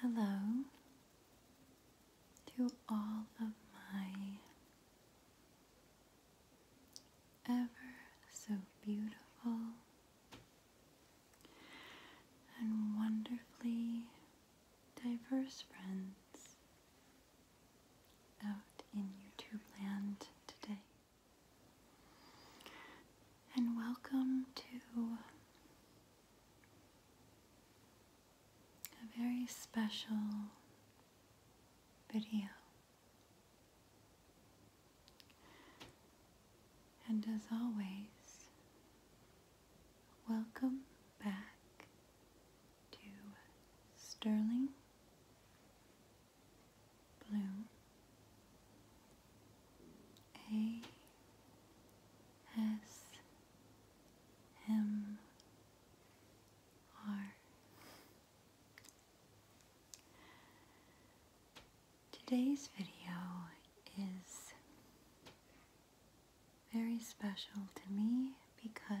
Hello to all of my ever so beautiful and wonderfully diverse friends out in YouTube land today. And welcome to a very special video. And as always, welcome back to Sterling Bloom A S M R. Today's video is very special to me because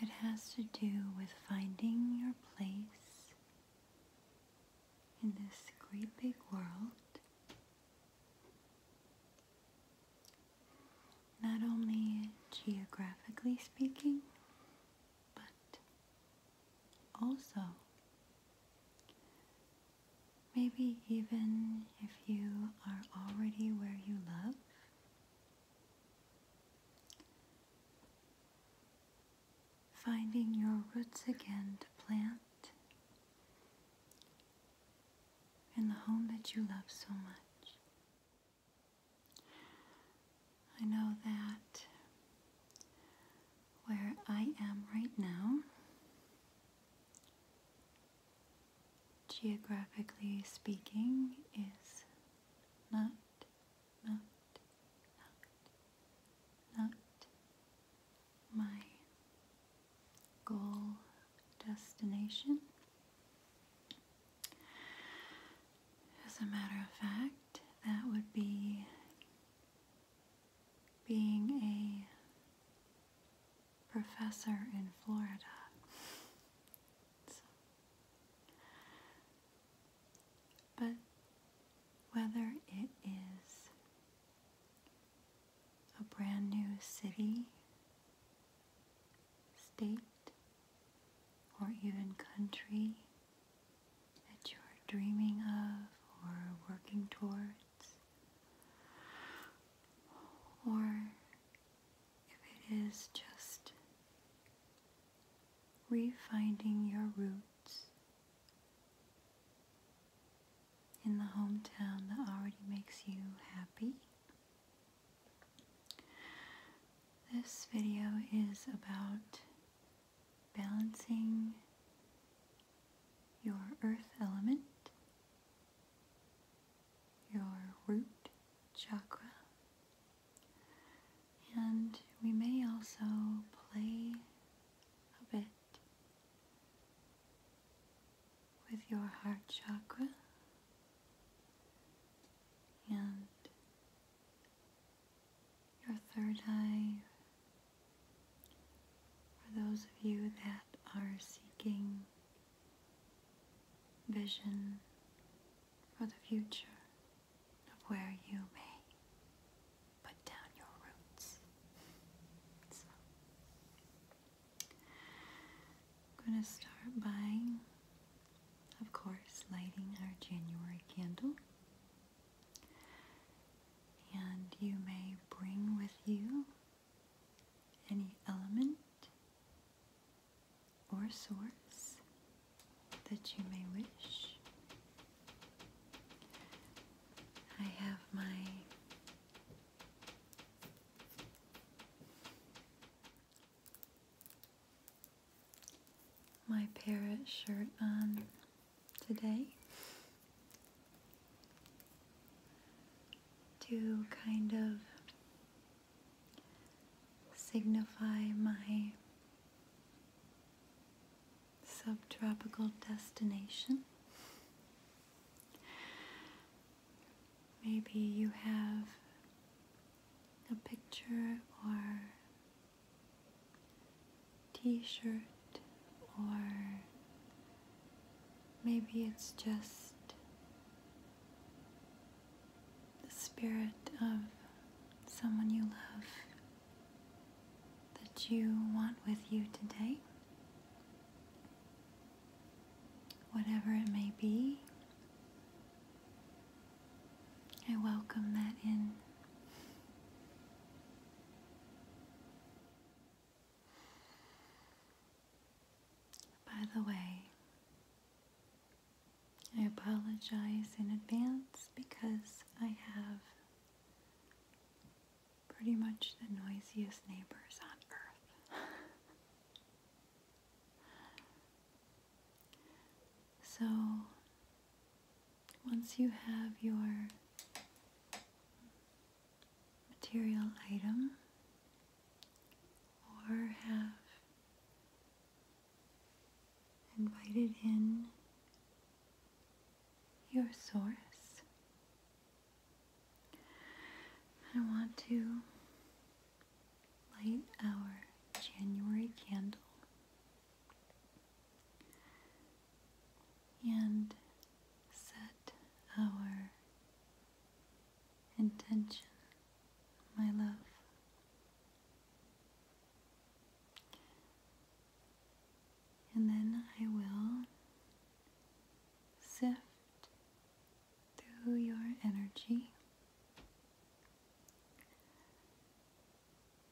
it has to do with finding your place in this great big world. Not only geographically speaking, but also maybe even if you are already where you love Finding your roots again to plant in the home that you love so much. I know that where I am right now, geographically speaking, is not, not, not, not my goal destination. As a matter of fact, that would be being a professor in Florida. But whether it is a brand new city, state, or even country that you're dreaming of or working towards, or if it is just refinding your roots in the hometown that already makes you happy. This video is about balancing your earth element your root chakra. And we may also play a bit with your heart chakra and your third eye. For those of you that are seeking vision for the future of where you may put down your roots. I'm going to start by, of course, lighting our January candle. And you may bring with you any element or source that you may wish. I have my my parrot shirt on today to kind of signify my subtropical destination. Maybe you have a picture or t shirt or Maybe it's just the spirit of someone you love that you want with you today. Whatever it may be, I welcome that in. By the way, I apologize in advance because I have pretty much the noisiest neighbors on earth. so, once you have your material item or have invited in your source. I want to light our January candle and set our Intention, my love. And then I will sift through your energy.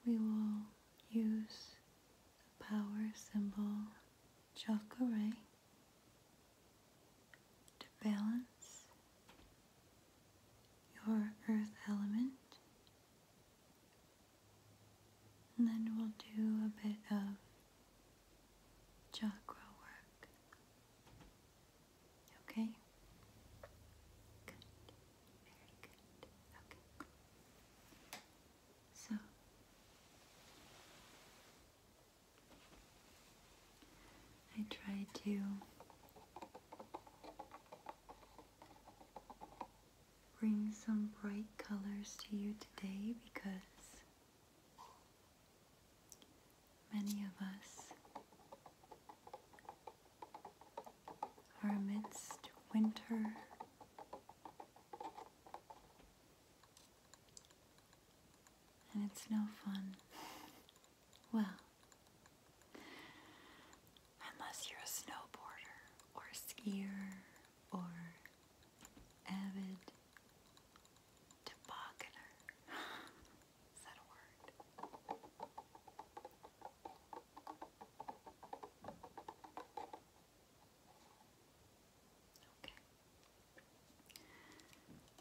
We will use the power symbol chakra ray to balance your earth element. And then we'll do a bit of chakra work. Okay? Good. Very good. Okay. So, I try to bring some bright colors to you today because many of us are amidst winter and it's no fun. Well, unless you're a snowboarder or a skier or avid tobogganer. Is that a word? Okay.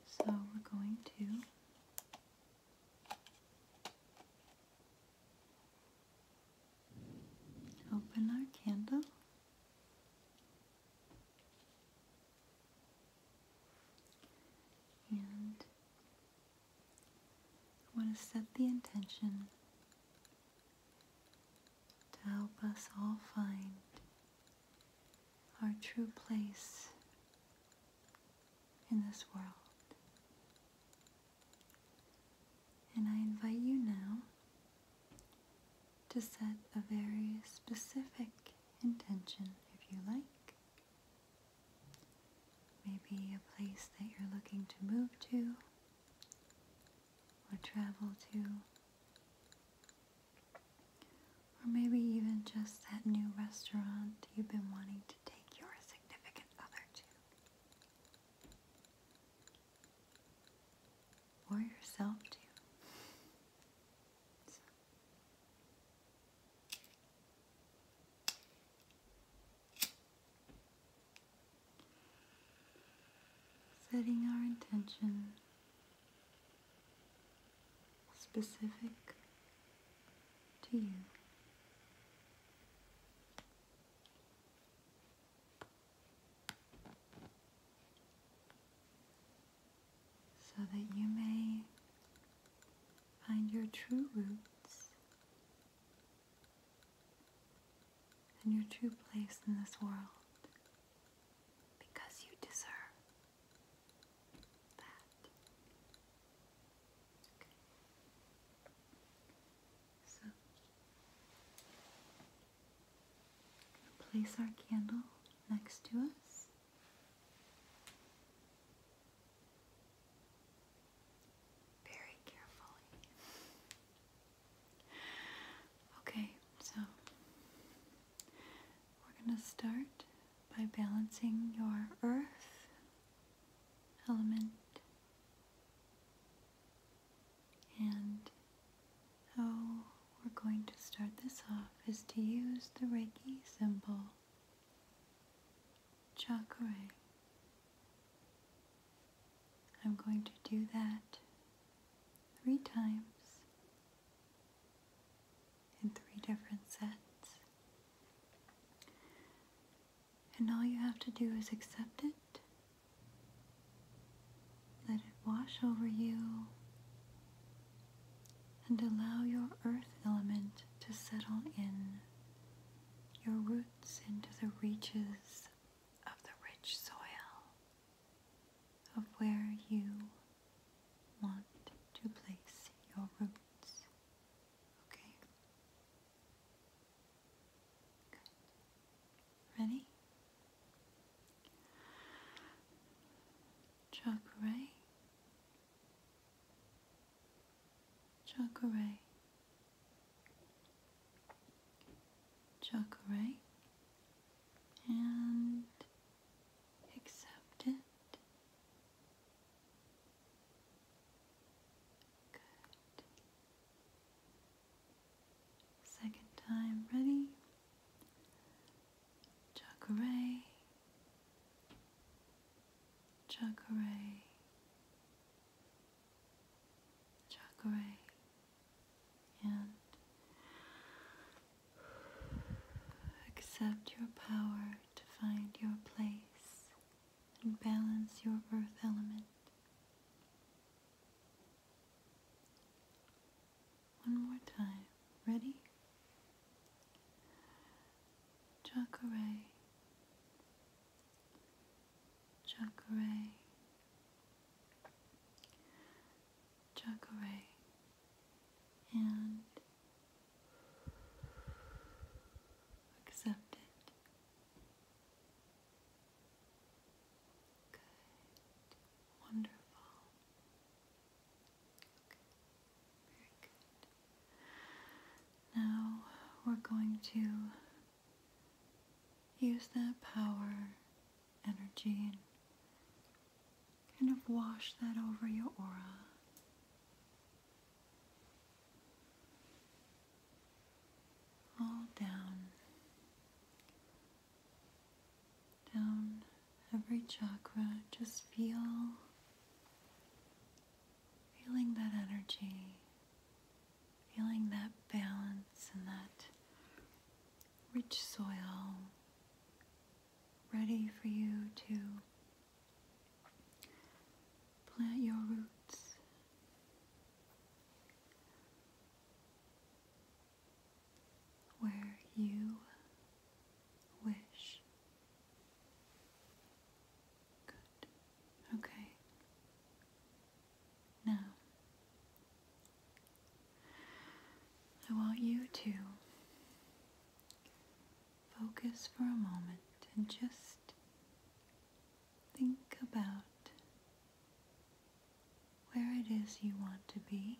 So we're going to open our candle. And want to set the intention to help us all find our true place in this world. And I invite you now to set a very specific intention if you like. Maybe a place that you're looking to move to or travel to or maybe even just that new restaurant you've been wanting to take your significant other to. Or yourself to. Setting our intention specific to you. So that you may find your true roots and your true place in this world because you deserve that. So, place our candle next to us. Very carefully. Okay, so we're going to start by balancing your earth element and how we're going to start this off is to use the Reiki symbol chakra. I'm going to do that three times in three different sets. And all you have to do is accept it, let it wash over you, and allow your earth element to settle in your roots into the reaches of the rich soil of where you want to place your roots. Okay? Ready? Chakra. Chakra. Chocorite and accept it. Good. Second time ready. Chocorite. Chocorite. Chocorite and accept your power to find your place and balance your earth element. One more time. Ready? Chakra. Chakra. Jug and accept it. Good. Wonderful. Okay. Very good. Now we're going to use that power energy and kind of wash that over your aura. All down, down every chakra. Just feel, feeling that energy feeling that balance and that rich soil ready for you to plant your roots. Where you wish. Okay. Now, I want you to focus for a moment and just think about where it is you want to be.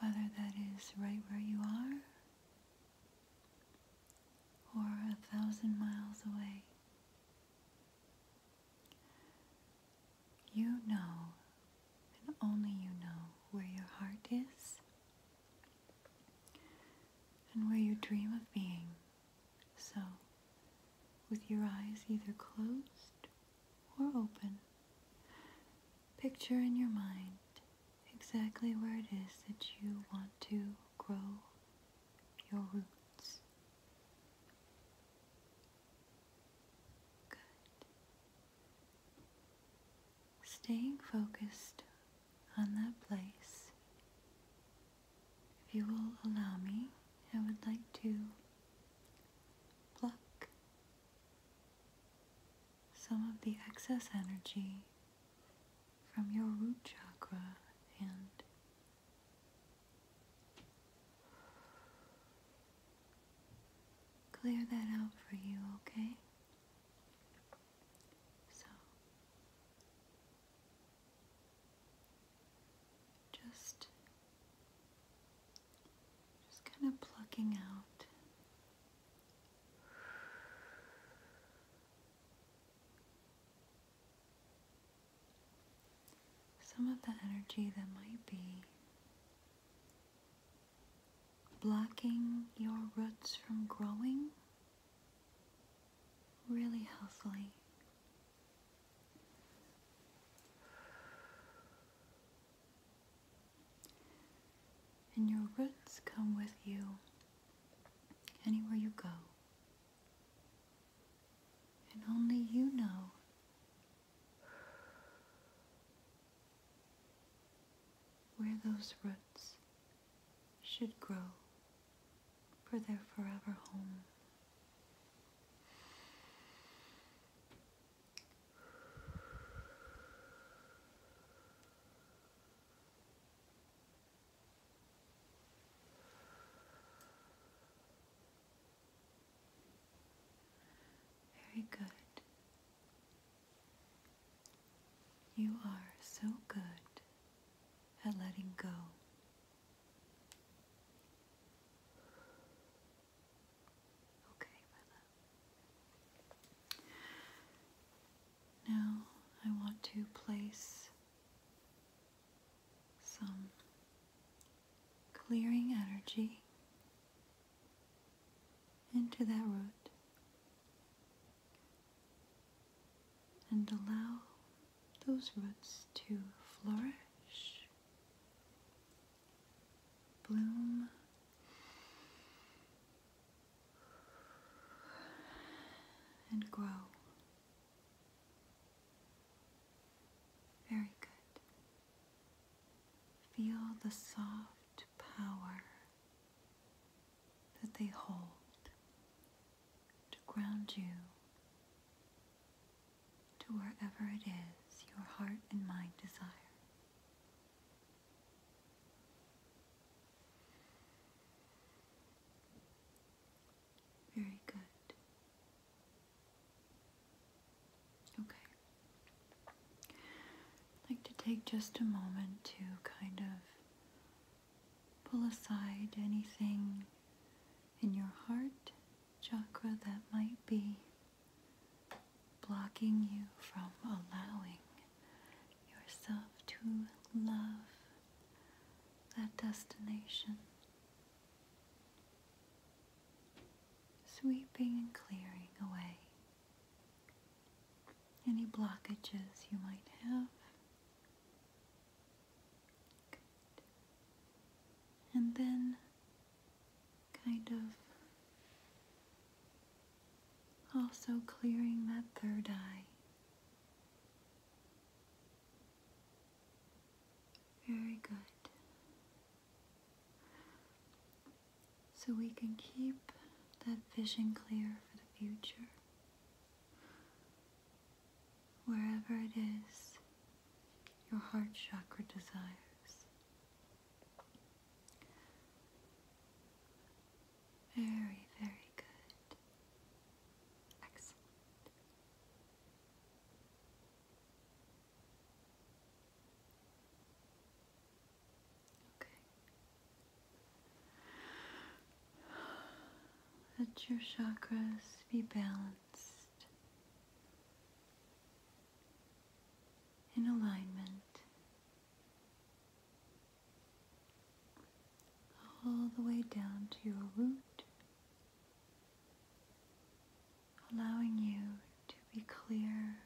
Whether that is right where you are or a thousand miles away. You know, and only you know, where your heart is and where you dream of being. So, with your eyes either closed or open, picture in your mind exactly where it is that you want to grow your roots. Good. Staying focused on that place. If you will allow me, I would like to pluck some of the excess energy from your root chakra and clear that out for you, okay? So, just, just kind of plucking out some of the energy that might be blocking your roots from growing really healthily. And your roots come with you anywhere you go. And only you know. Where those roots should grow for their forever home. Very good. You are so good at letting go. Okay, Now I want to place some clearing energy into that root and allow those roots to flourish, bloom, and grow. Very good. Feel the soft power that they hold to ground you to wherever it is your heart and mind desire. Very good. Okay. I'd like to take just a moment to kind of pull aside anything in your heart chakra that might be blocking you from allowing yourself to love that destination, sweeping and clearing away any blockages you might have. And then kind of also clearing that third eye very good. So we can keep that vision clear for the future. Wherever it is, your heart chakra desires. Very, very good. Excellent. Okay. Let your chakras be balanced in alignment all the way down to your root, allowing you to be clear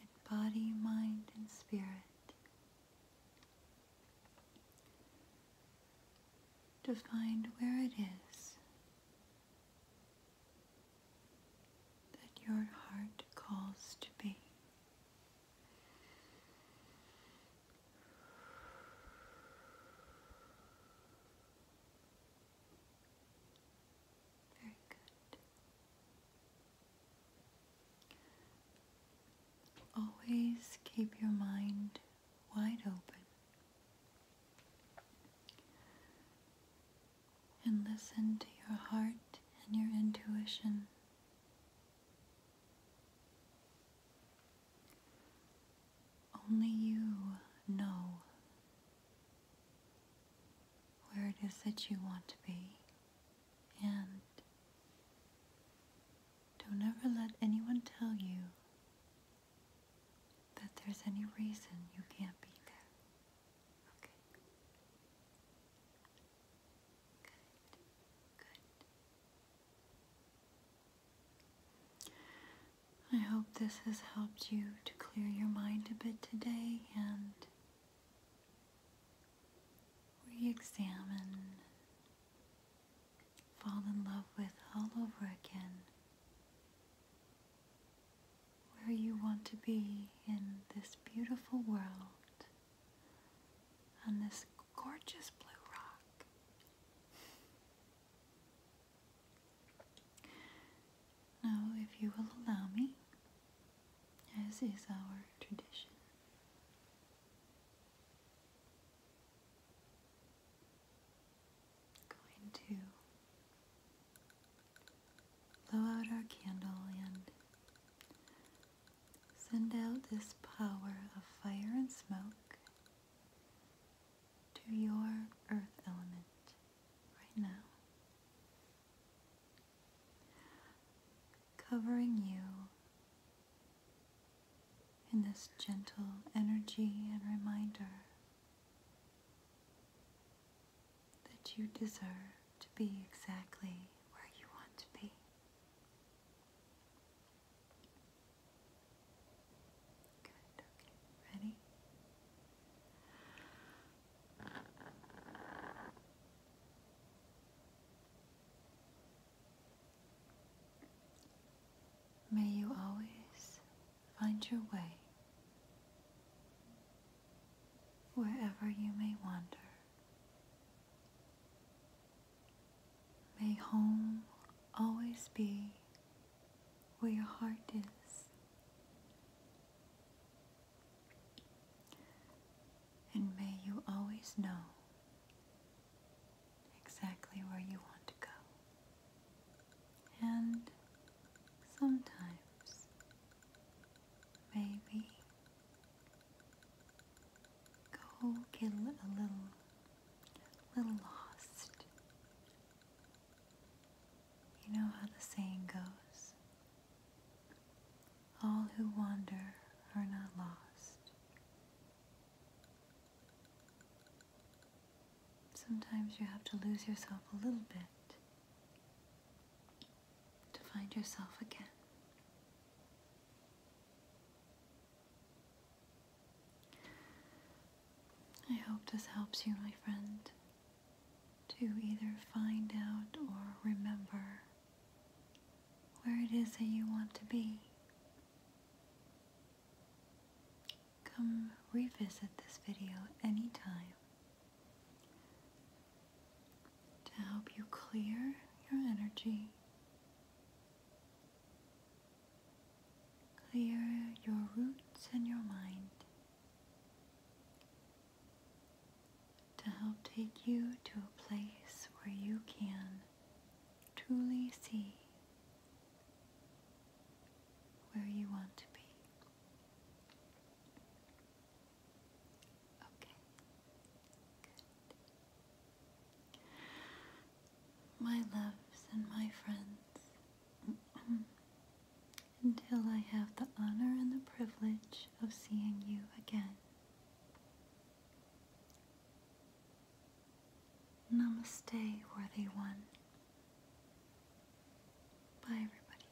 in body, mind, and spirit. To find where it is that your heart calls to be. Very good. Always keep your mind wide open and listen to your heart and your intuition only you know where it is that you want to be, and don't ever let anyone tell you that there's any reason you can't be there. Okay? I hope this has helped you to clear your mind a bit today and re examine, fall in love with all over again where you want to be in this beautiful world on this gorgeous blue rock. Now, if you will allow me, as is our tradition, I'm going to blow out our candle and Send out this power of fire and smoke to your earth element right now, covering you in this gentle energy and reminder that you deserve to be exactly where you want to be. Good, okay, ready? May you always find your way wherever you may wander. May home always be where your heart is. And may you always know exactly where you want to go. And sometimes, maybe Go get a little, little lost. You know how the saying goes all who wander are not lost. Sometimes you have to lose yourself a little bit to find yourself again. I hope this helps you, my friend, to either find out or remember where it is that you want to be. Come revisit this video anytime to help you clear your energy, clear your roots and your mind, to help take you to a place where you can truly see where you want to be. My loves and my friends, until I have the honor and the privilege of seeing you again. Namaste, worthy one. Bye, everybody.